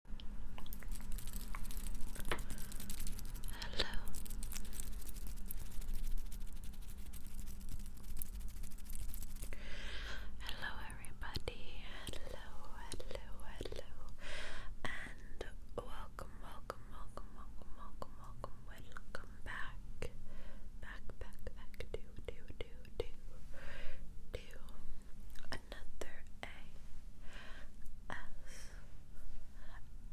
Hello. Hello, everybody. Hello, hello, hello. And welcome, welcome, welcome, welcome, welcome, welcome, welcome back. Back, back, back to, to, to, to, to another A S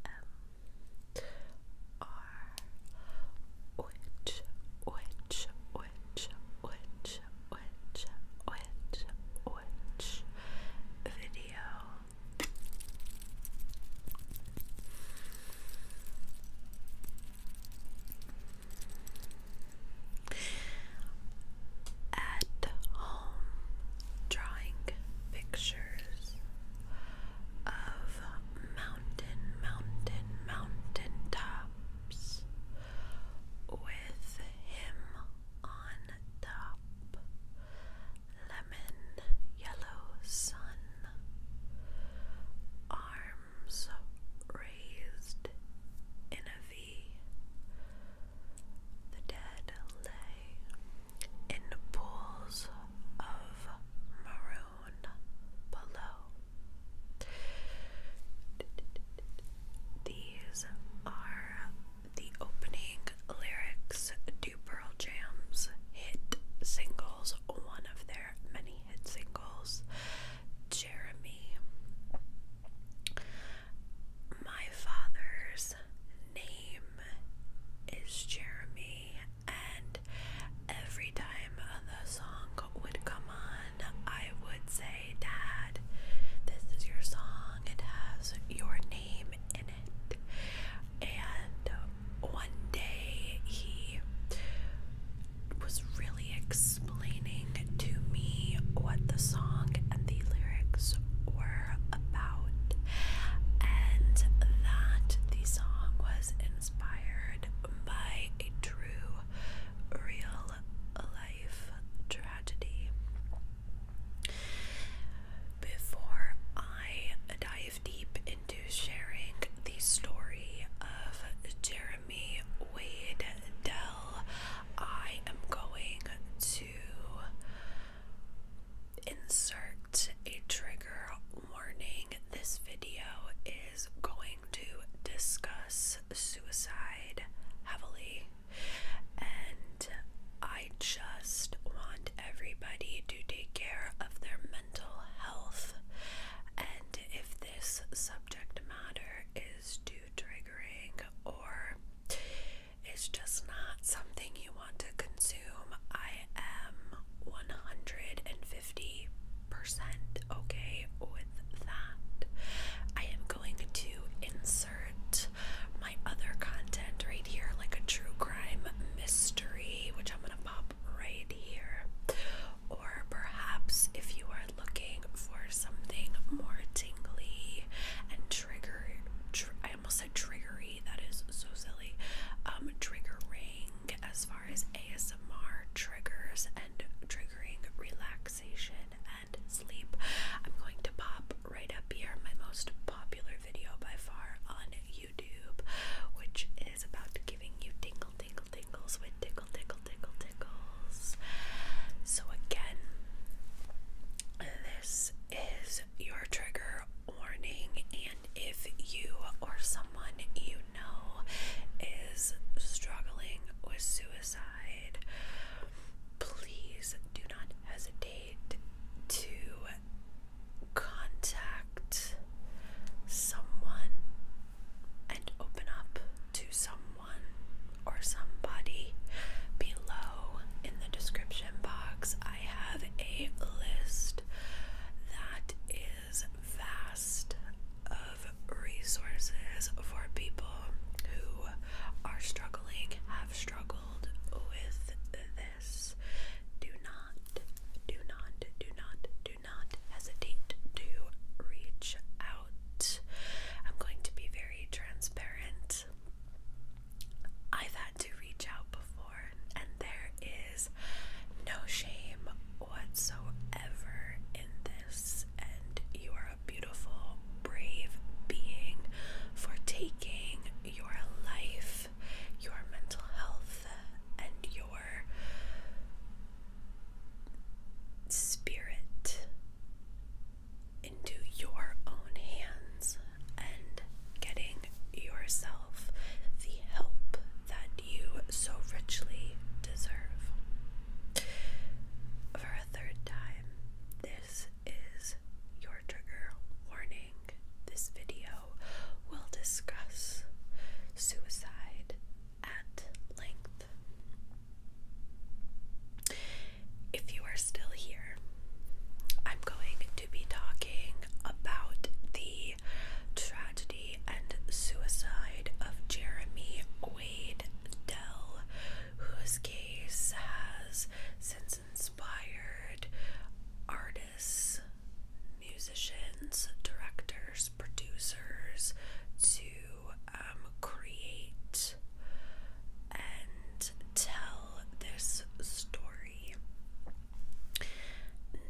M R which which which which which which which video at um, drawing pictures of mountain, mountain, mountain tops with him on top. Lemon yellow sun, arms raised in a the dead lay in pools of maroon below. These are the opening lyrics to Jam's hit singles, one of their many hit singles, Jeremy. My father's name is Jeremy, and every time the song would come on, I would say, Dad, this is your song, it has your name in it. And one day he was really explaining to me what the song and the lyrics were about, and that the song was inspired by a true, real life tragedy. Before I dive deep into sharing the story of Jeremy Wade Dell, I am going to to insert a trigger warning. This video is going to discuss suicide heavily, and I just want everybody to take care of their mental health. And if this subject matter is too triggering or it's just not something you want to consume. I am 150% okay with that. I am going to insert my other content right here, like a true crime mystery, which I'm going to pop right here. Or perhaps if you are looking for something more tingly and trigger I almost said triggery that is so silly um, triggering as far as ASMR triggers and triggering relaxation and sleep I'm going to pop right up here my most popular video by far on YouTube which is about giving you tingle tingle tingles with tickle tickle tickle tickles so again this is your trigger warning, and if you or someone you know is struggling with suicide, please do not hesitate to contact someone and open up to someone or somebody below in the description box. I have a list that is vast of resources for people who are struggling, have struggled with this. Do not, do not, do not, do not hesitate to reach out. I'm going to be very transparent I've had to reach out before, and there is no shame whatsoever in this. And you are a beautiful, brave being for taking your life, your mental health, and your spirit into your own hands and getting yourself the help that you so richly deserve. For a third time, this is your trigger warning. This video will discuss suicide at length if you are still here, I'm going to be talking about the tragedy and suicide of Jeremy Wade Dell, whose case has since inspired artists, musicians, directors, producers to um, create and tell this story.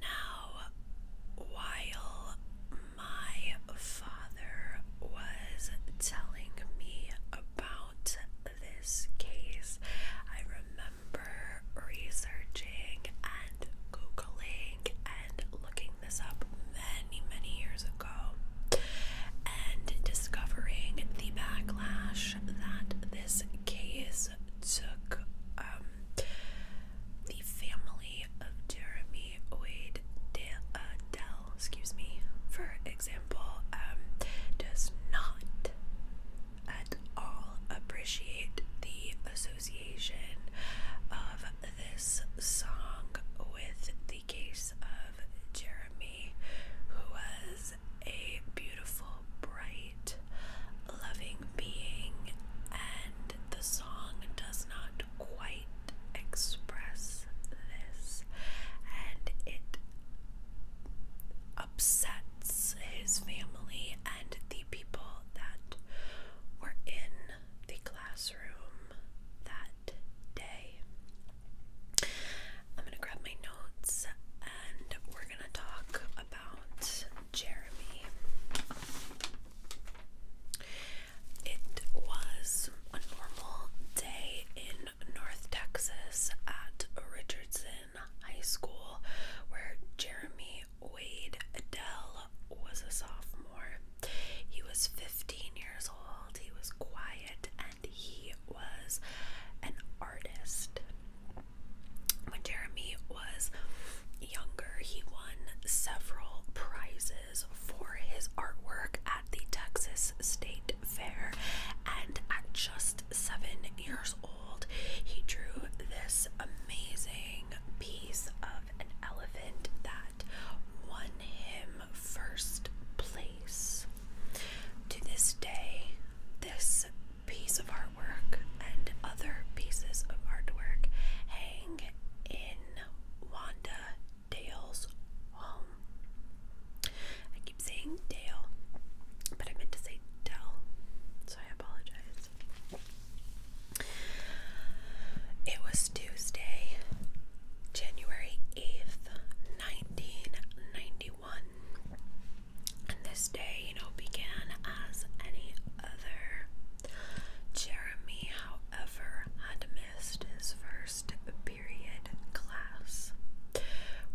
Now, while my father was telling me about this case, I remember researching and Googling and looking this up many, many years ago and discovering the backlash that this case took um, the family of Jeremy Wade Dale, uh, excuse me, for example, um, does not at all appreciate the association of this song with the case of Jeremy, who was a beautiful, bright, loving being, and the song does not quite express this, and it upsets his family and the people that were in the classroom that day. I'm gonna grab my notes and we're gonna talk about Jeremy. It was a normal day in North Texas at Richardson High School where Jeremy Wade Adele was a sophomore. He was 15 years old. He was quiet he was an artist. When Jeremy was younger, he won several prizes for his artwork at the Texas State Fair, and at just seven years old, he drew this amazing piece of an elephant that won him first place. To this day, this piece of artwork and other pieces of artwork hang in Wanda Dale's home. I keep saying Dale, but I meant to say Dell, so I apologize. It was Tuesday, January 8th, 1991 one. And this day, you know, began as any other. Jeremy, however, had missed his first period class.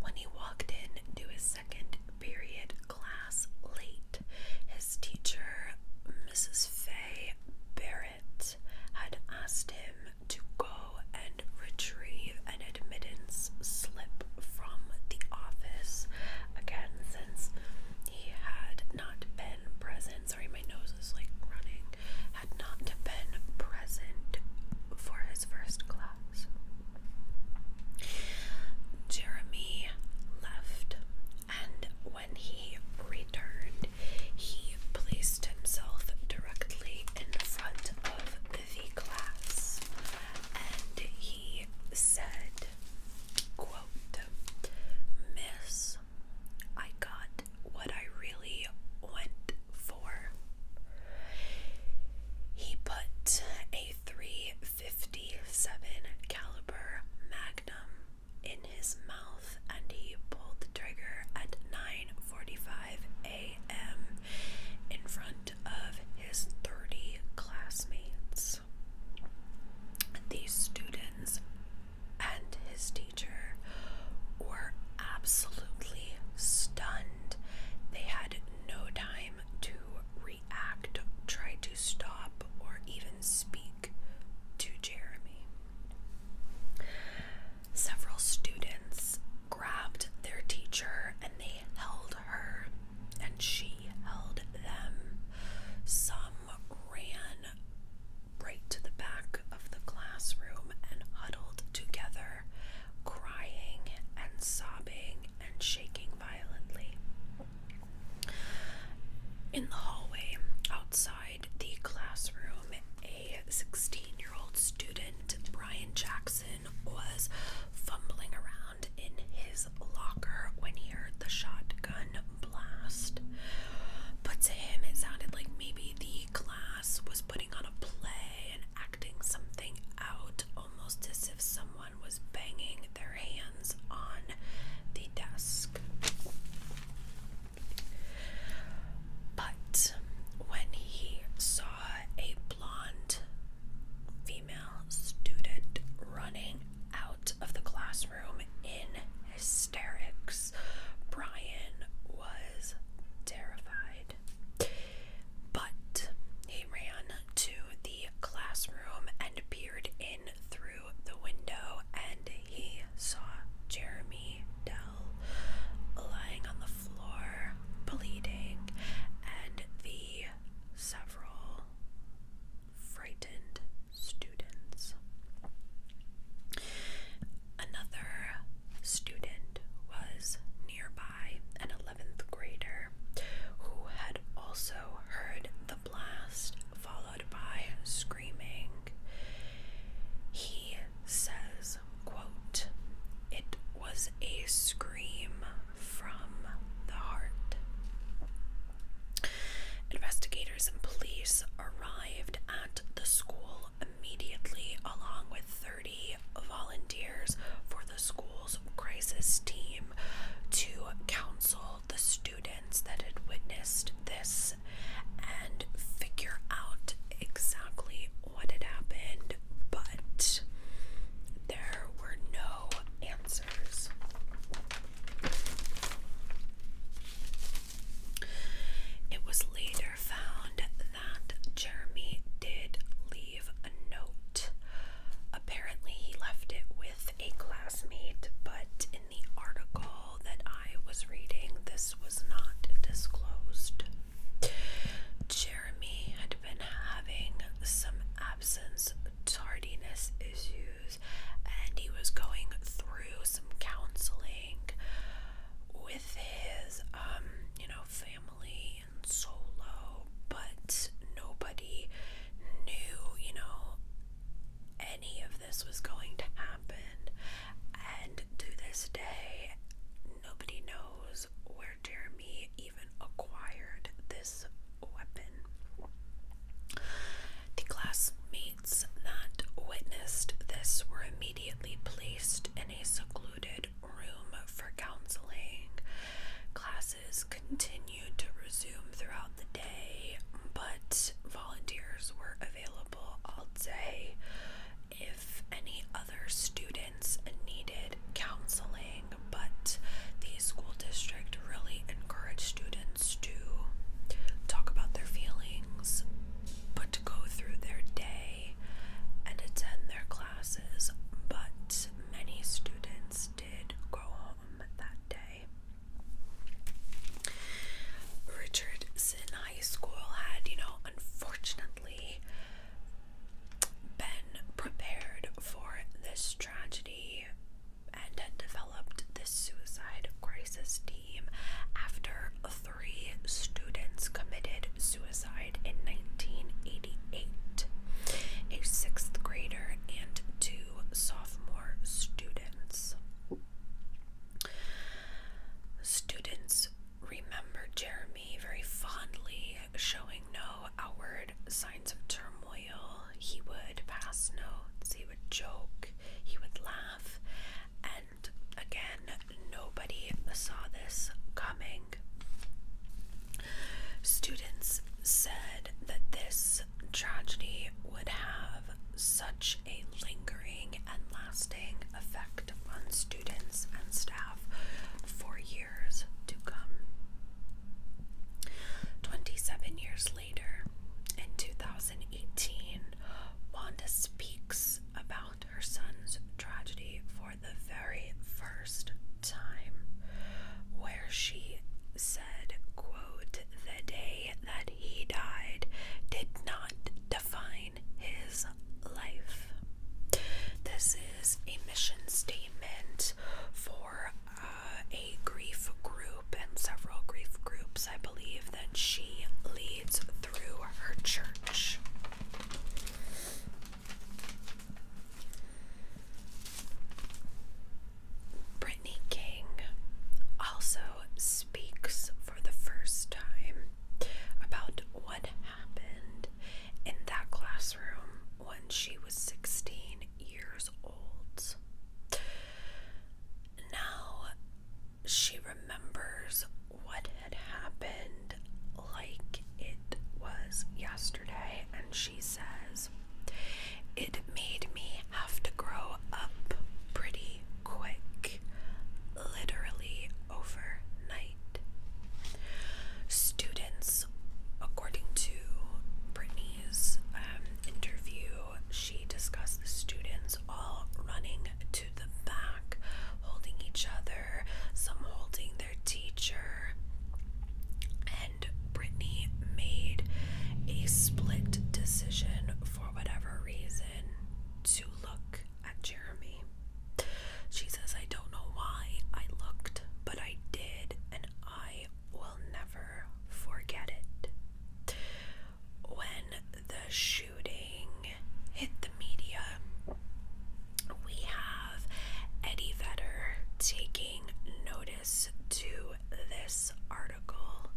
When he walked in to his second period class late, his teacher, Mrs. Fay Barrett, had asked him to go and retrieve an admittance slip from the office. Again, since he had not been present, sorry, my nose is like running, had not been present for his first class. Jeremy left, and when he returned, he placed himself directly in front of the class and he said, quote, Miss, I got what I really went for. He put a 357 caliber magnum in his mouth and he pulled the trigger at 9:45 a.m in front of his 30 classmates. These students and his teacher were absolutely stunned. They had no time to react, try to stop, or even speak to Jeremy. Several students grabbed their teacher and they they held her and she held them. Some ran right to the back of the classroom and huddled together, crying and sobbing and shaking violently. In the hallway outside the classroom, a 16 year old student, Brian Jackson, was fumbling around in his locker when he heard the shotgun blast. But to him, it sounded like maybe the class was putting on a play and acting something out, almost as if someone was banging their hands on the desk. But when he saw a blonde female student running out of the classroom in hysterics. Brian was terrified, but he ran to the classroom and peered in through the window, and he saw Jeremy Dell lying on the floor bleeding, and the several frightened students. Another student was nearby, an 11th grader, who had also heard the blast, followed by screaming. He says it was a scream from the heart. Investigators and police arrived at the school immediately, along with 30 volunteers for the school's crisis team, to counsel the students that had witnessed this and figure out exactly what had happened, but there were no answers. It was later found that Jeremy did leave a note. Apparently, he left it with a classmate, but in the article that I was reading, this was not disclosed. Jeremy had been having some absence tardiness issues and he was going through some counseling with his um, you know family and solo but nobody knew you know any of this was going to happen and to this day nobody knows where where Jeremy even acquired this weapon. The classmates that witnessed this were immediately placed in a secluded room for counseling. Classes continued to resume throughout the day, but volunteers were available all day. If any other student needed counseling, but the school district really encouraged students to talk about their feelings, but to go through their day and attend their classes. But many students did go home that day. Richardson High School had, you know, unfortunately been prepared for this tragedy and developed this suicide crisis team after three students committed suicide in 1988 a sixth grader and two sophomore students. Students remember Jeremy very fondly, showing no outward signs of turmoil. He would pass notes, he would joke, he would laugh, and again, nobody saw this coming. Students said that this tragedy would have such a lingering and lasting effect on students and staff for years to come. Twenty seven years later, in 2018, Wanda speaks about her son's tragedy for the very first time, where she said, quote, the day that he died did not define his life. This is a mission statement for uh, a grief group and several grief groups, I believe, that she leads through her church. Brittany King also speaks for the first time about what happened in that classroom when she was 16 years old. Now she remembers what had happened like it was yesterday, and she says, It made me have to grow up pretty quick, literally overnight. Students, according to Brittany's um, interview, she discussed the students all running to the back, holding each other, some holding their teacher. And Brittany made a split decision for whatever reason to look at Jeremy. She says, I don't know why I looked, but I did, and I will never forget it. When the shooting hit the media, we have Eddie Vedder taking notice to this article.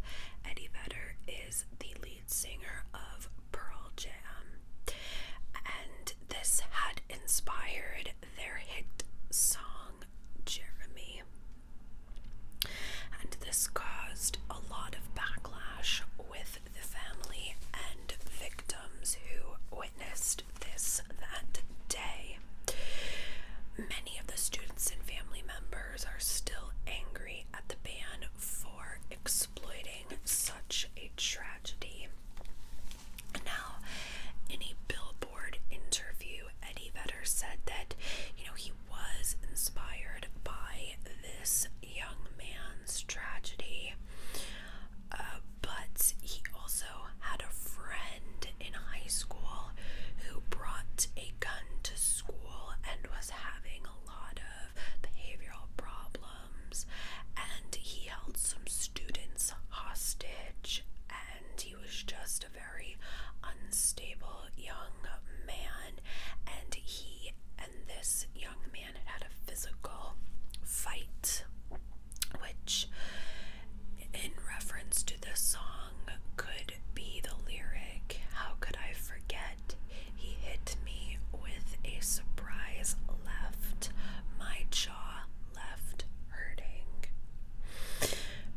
Eddie Vedder is the lead singer of Pearl Jam, and this had inspired their hit song Jeremy. And this caused a lot of backlash with the family and victims who witnessed this that day. Many of the students and family members are still angry at the band for exploiting such a tragedy. Now, in a Billboard interview, Eddie Vedder said that, you know, he was inspired by this young man's tragedy, uh, but he also had a friend in high school who brought a gun to school and was having a lot of behavioral problems, and he he held some students hostage, and he was just a very unstable young man. And he and this young man had a physical fight, which, in reference to the song, could be the lyric How could I forget? He hit me with a surprise left. My jaw left hurting.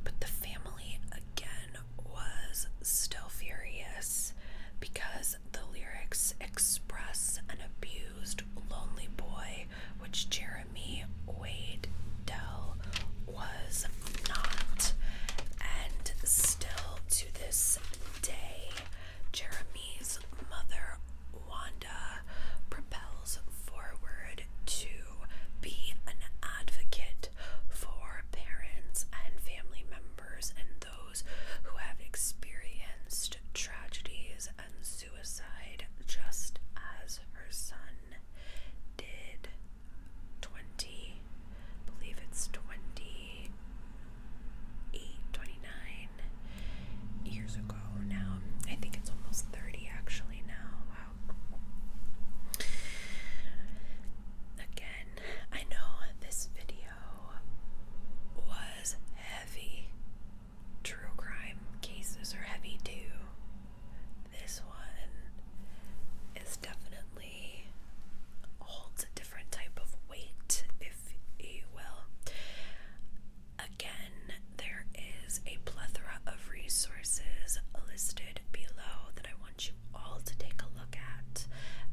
But the family again was still furious because the lyrics express an abused, lonely boy, which Jeremy Wade Dell was not. And still to this day, Jeremy's mother Wanda propels forward to be an advocate for parents and family members and those who have experienced tragedies and suicide, just as her son did 20, believe it's 28, years ago now. I think it's almost 30 actually now. Again, I know this video was heavy. True crime cases are heavy too. This one is definitely holds a different type of weight, if you will. Again, there is a plethora of resources listed below that I want you all to take a look at,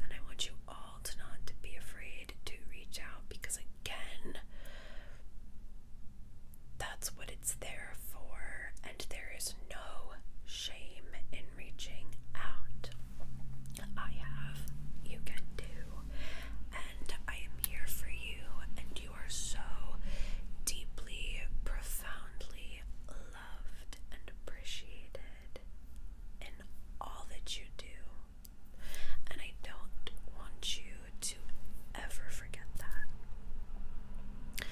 and I want you all to not be afraid to reach out because, again, that's what it's there for, and there is no shame in reaching out. I have, you can too, and I am here for you, and you are so deeply, profoundly loved and appreciated in all that you do. And I don't want you to ever forget that.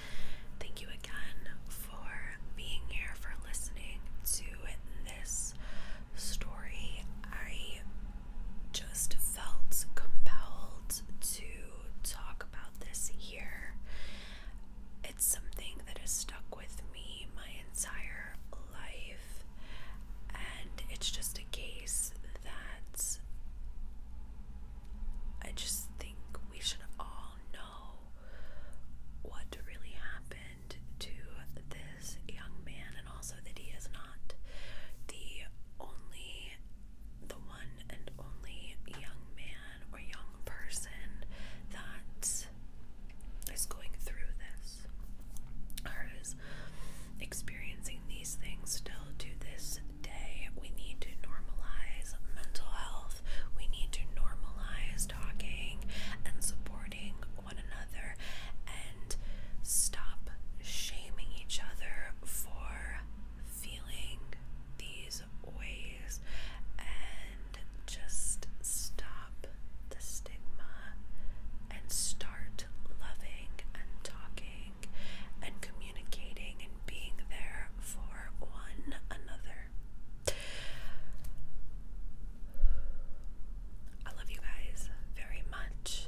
Thank you again for being here, for listening to this story. I just felt compelled to talk about this here. It's something that has stuck with me my entire life, and it's just a case that I just think we should all know what really happened to this young man, and also that he is not not. The only, the one and only young man or young person that is going through this or is experiencing these things still to this day. We need to normalize mental health, we need to normalize talking and supporting one another and stop shaming each other for feeling these ways and just stop the stigma and start loving and talking and communicating and being there for one another. I love you guys very much.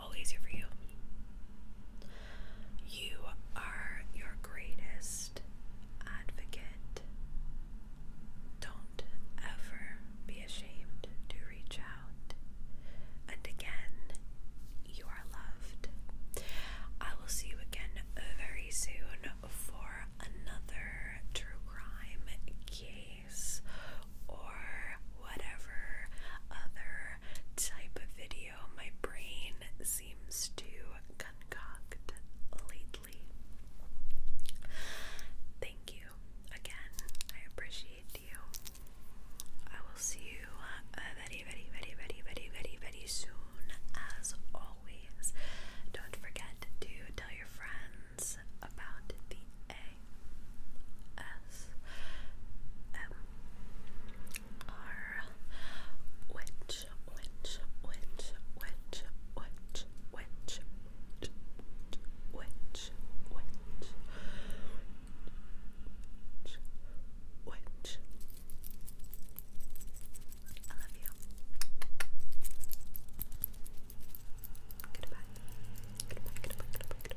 always here for you. You are your greatest advocate. Don't ever be ashamed to reach out. And again, you are loved. I will see you again very soon for another true crime case or whatever other type of video my brain seems to concoct lately. Thank you again. I appreciate you. I will see you uh, very, very, very, very, very, very, very soon. As always, don't forget to tell your friends about the a S M R which which which which which which which which which which I love you. Goodbye. Goodbye. Goodbye. Goodbye. Goodbye.